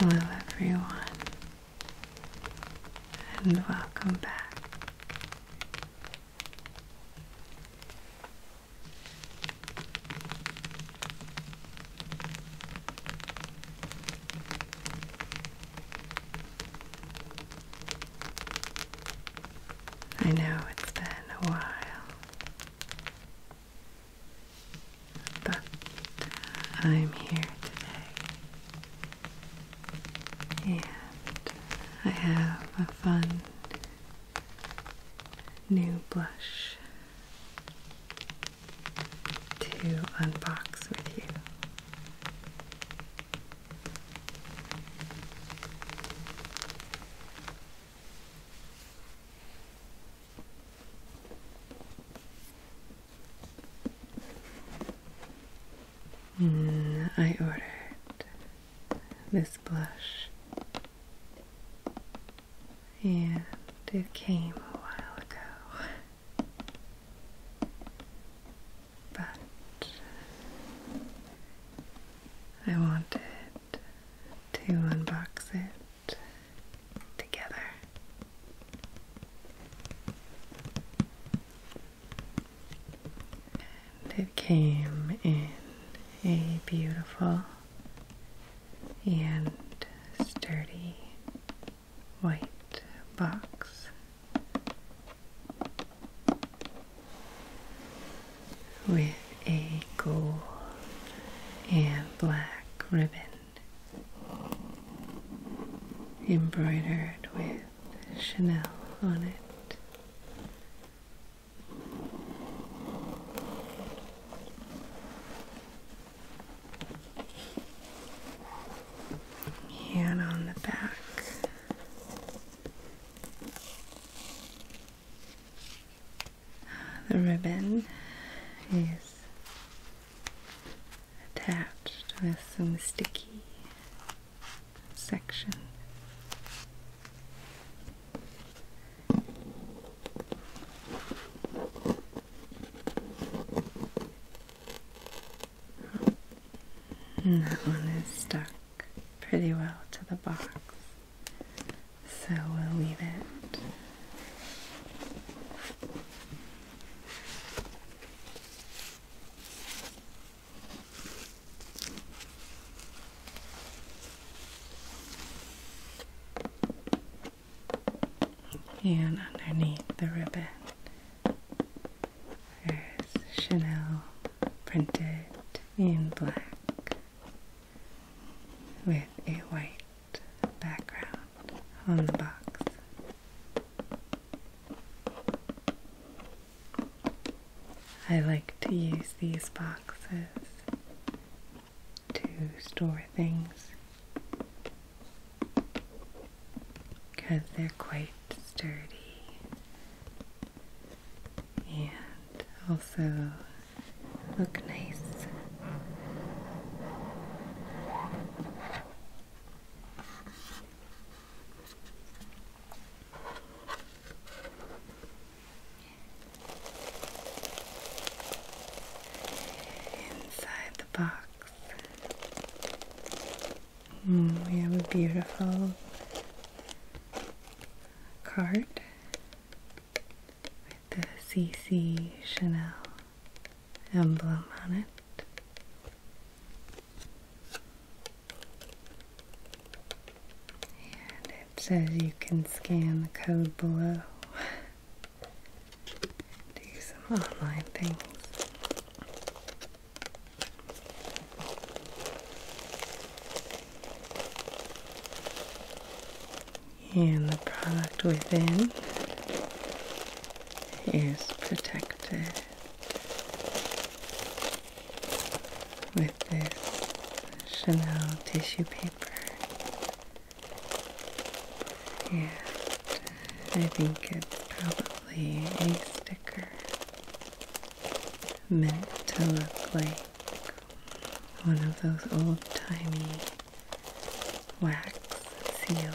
Hello, everyone, and welcome back. I know it's been a while, but I'm here today, and I have a fun new blush to unbox with you. Mm, I ordered this blush and it came a while ago. But I wanted to unbox it together. And it came in a beautiful and sturdy white box with a gold and black ribbon embroidered with Chanel on it and on the back. The ribbon is attached with some sticky section. And that one is stuck pretty well to the box, so we'll leave it. And underneath the ribbon, there's Chanel printed in black with a white background on the box. I like to use these boxes to store things because they're quite sturdy and also look nice inside the box. Mm, we have a beautiful card with the CC Chanel emblem on it. And it says you can scan the code below. do some online things. And the product within is protected with this Chanel tissue paper and I think it's probably a sticker meant to look like one of those old timey wax seals.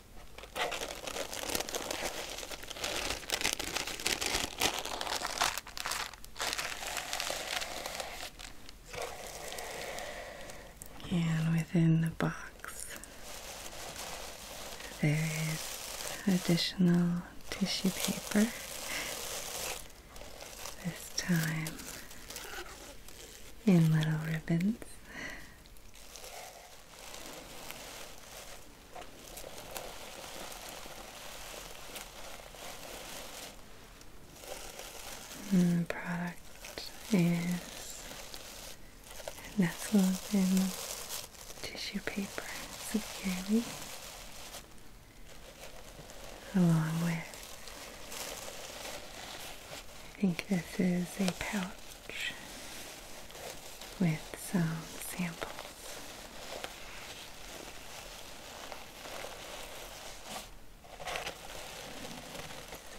And within the box, there is additional tissue paper. This time in little ribbons. Mm, product is nestled in tissue paper securely along with I think this is a pouch with some samples.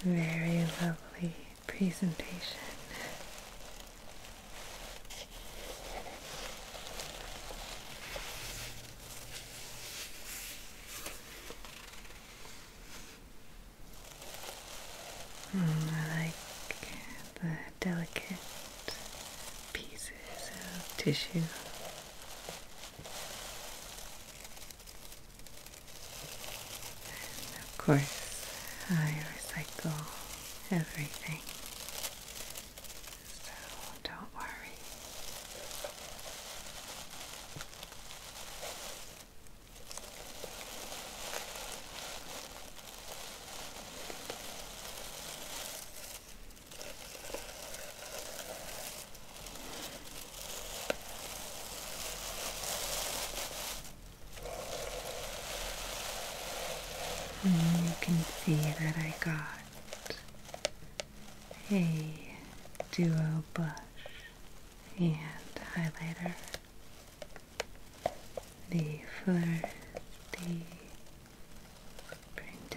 Very lovely presentation. Hmm, I like the delicate pieces of tissue. of course, I recycle everything. So don't worry you can see that I got a duo brush and highlighter the first, the print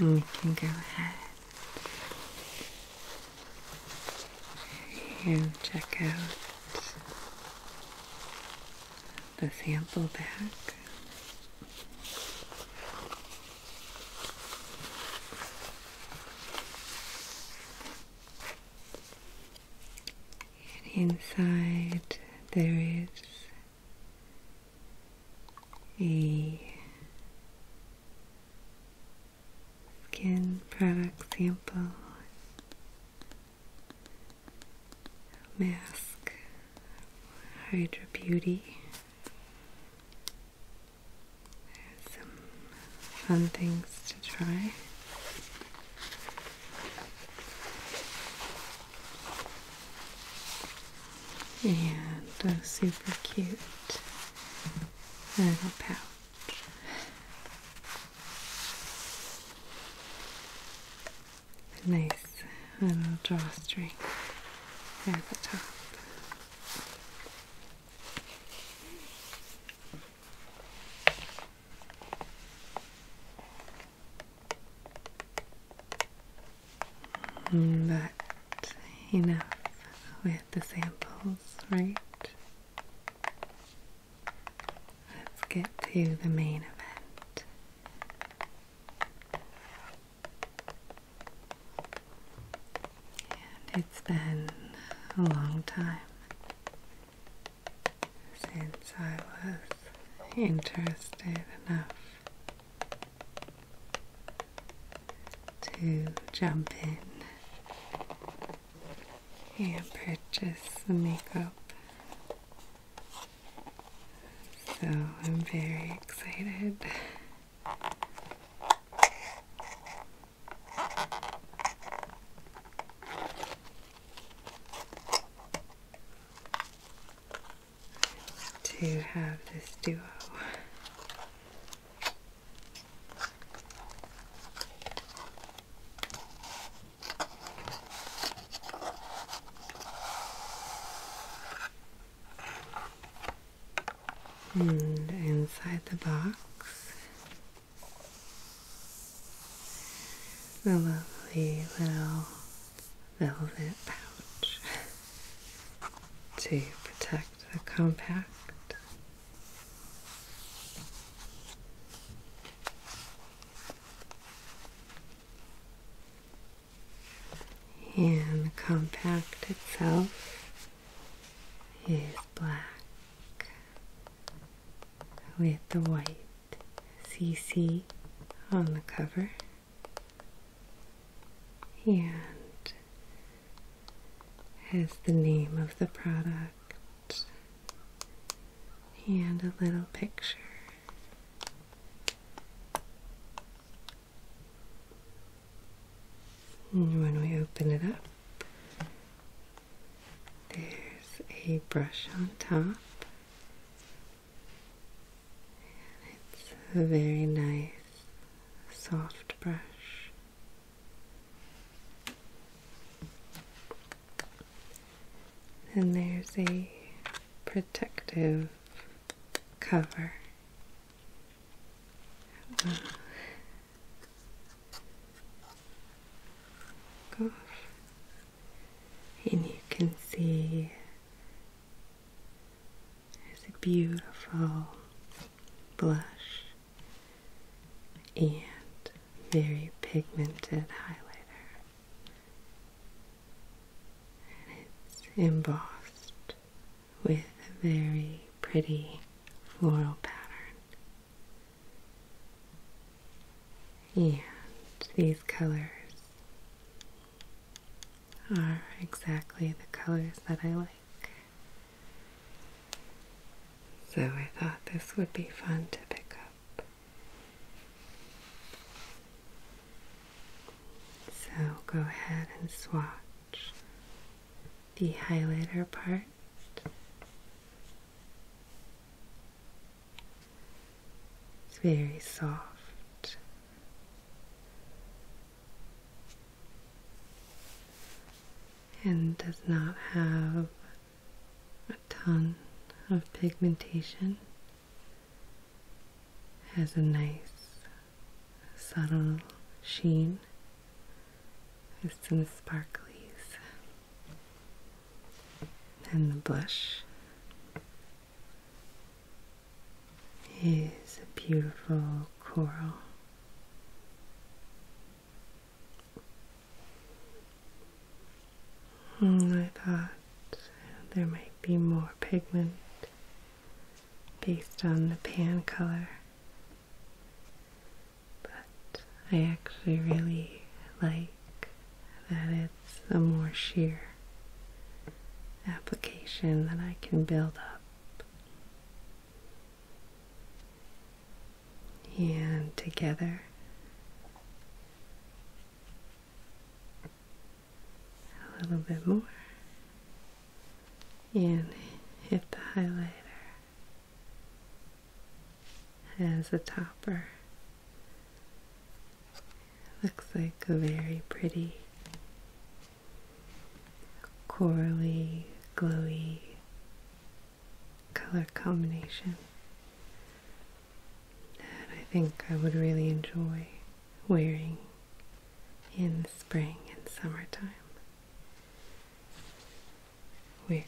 You can go ahead and check out the sample bag. And inside there is a skin product sample, mask, Hydra Beauty. some fun things to try. And a super cute little pouch. A nice little drawstring at the top. But enough with the samples, right? Let's get to the main event. And it's been a long time since I was interested enough to jump in and purchase the makeup. So I'm very excited. To have this duo and inside the box, the lovely little velvet pouch. to protect the compact. And the compact itself is black with the white CC on the cover. And has the name of the product and a little picture. when we open it up, there's a brush on top. And it's very nice soft brush. And there's a protective cover. Uh, And you can see there's a beautiful blush and very pigmented highlighter. And it's embossed with a very pretty floral pattern. And these colors are exactly the colors that I like. So I thought this would be fun to pick up. So go ahead and swatch the highlighter part. It's very soft and does not have a ton of pigmentation, has a nice subtle sheen with some sparklies, and the blush is a beautiful coral. Hmm, I thought there might be more pigment based on the pan color, but I actually really like that it's a more sheer application that I can build up and together, a little bit more, and hit the highlighter as a topper. Looks like a very pretty corally, glowy color combination that I think I would really enjoy wearing in spring and summertime, which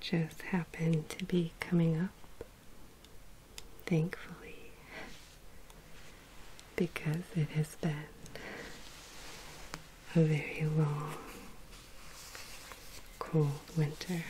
just happened to be coming up, thankfully because it has been a very long, cold winter.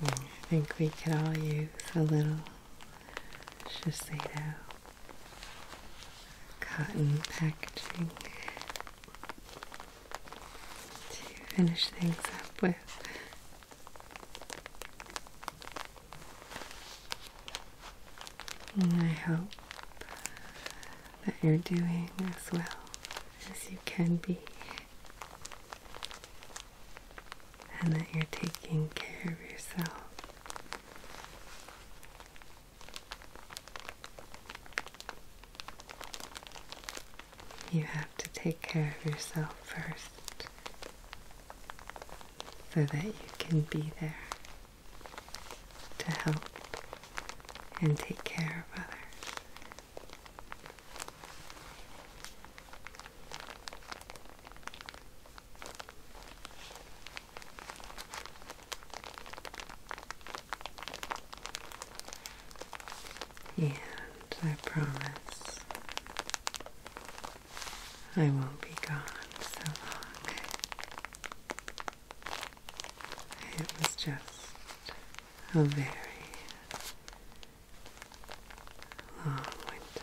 Hmm, I think we could all use a little Shiseido cotton packaging to finish things up with. I hope that you're doing as well as you can be, and that you're taking care of yourself. You have to take care of yourself first so that you can be there to help and take care of others. And I promise I won't be gone so long. It was just a very long winter.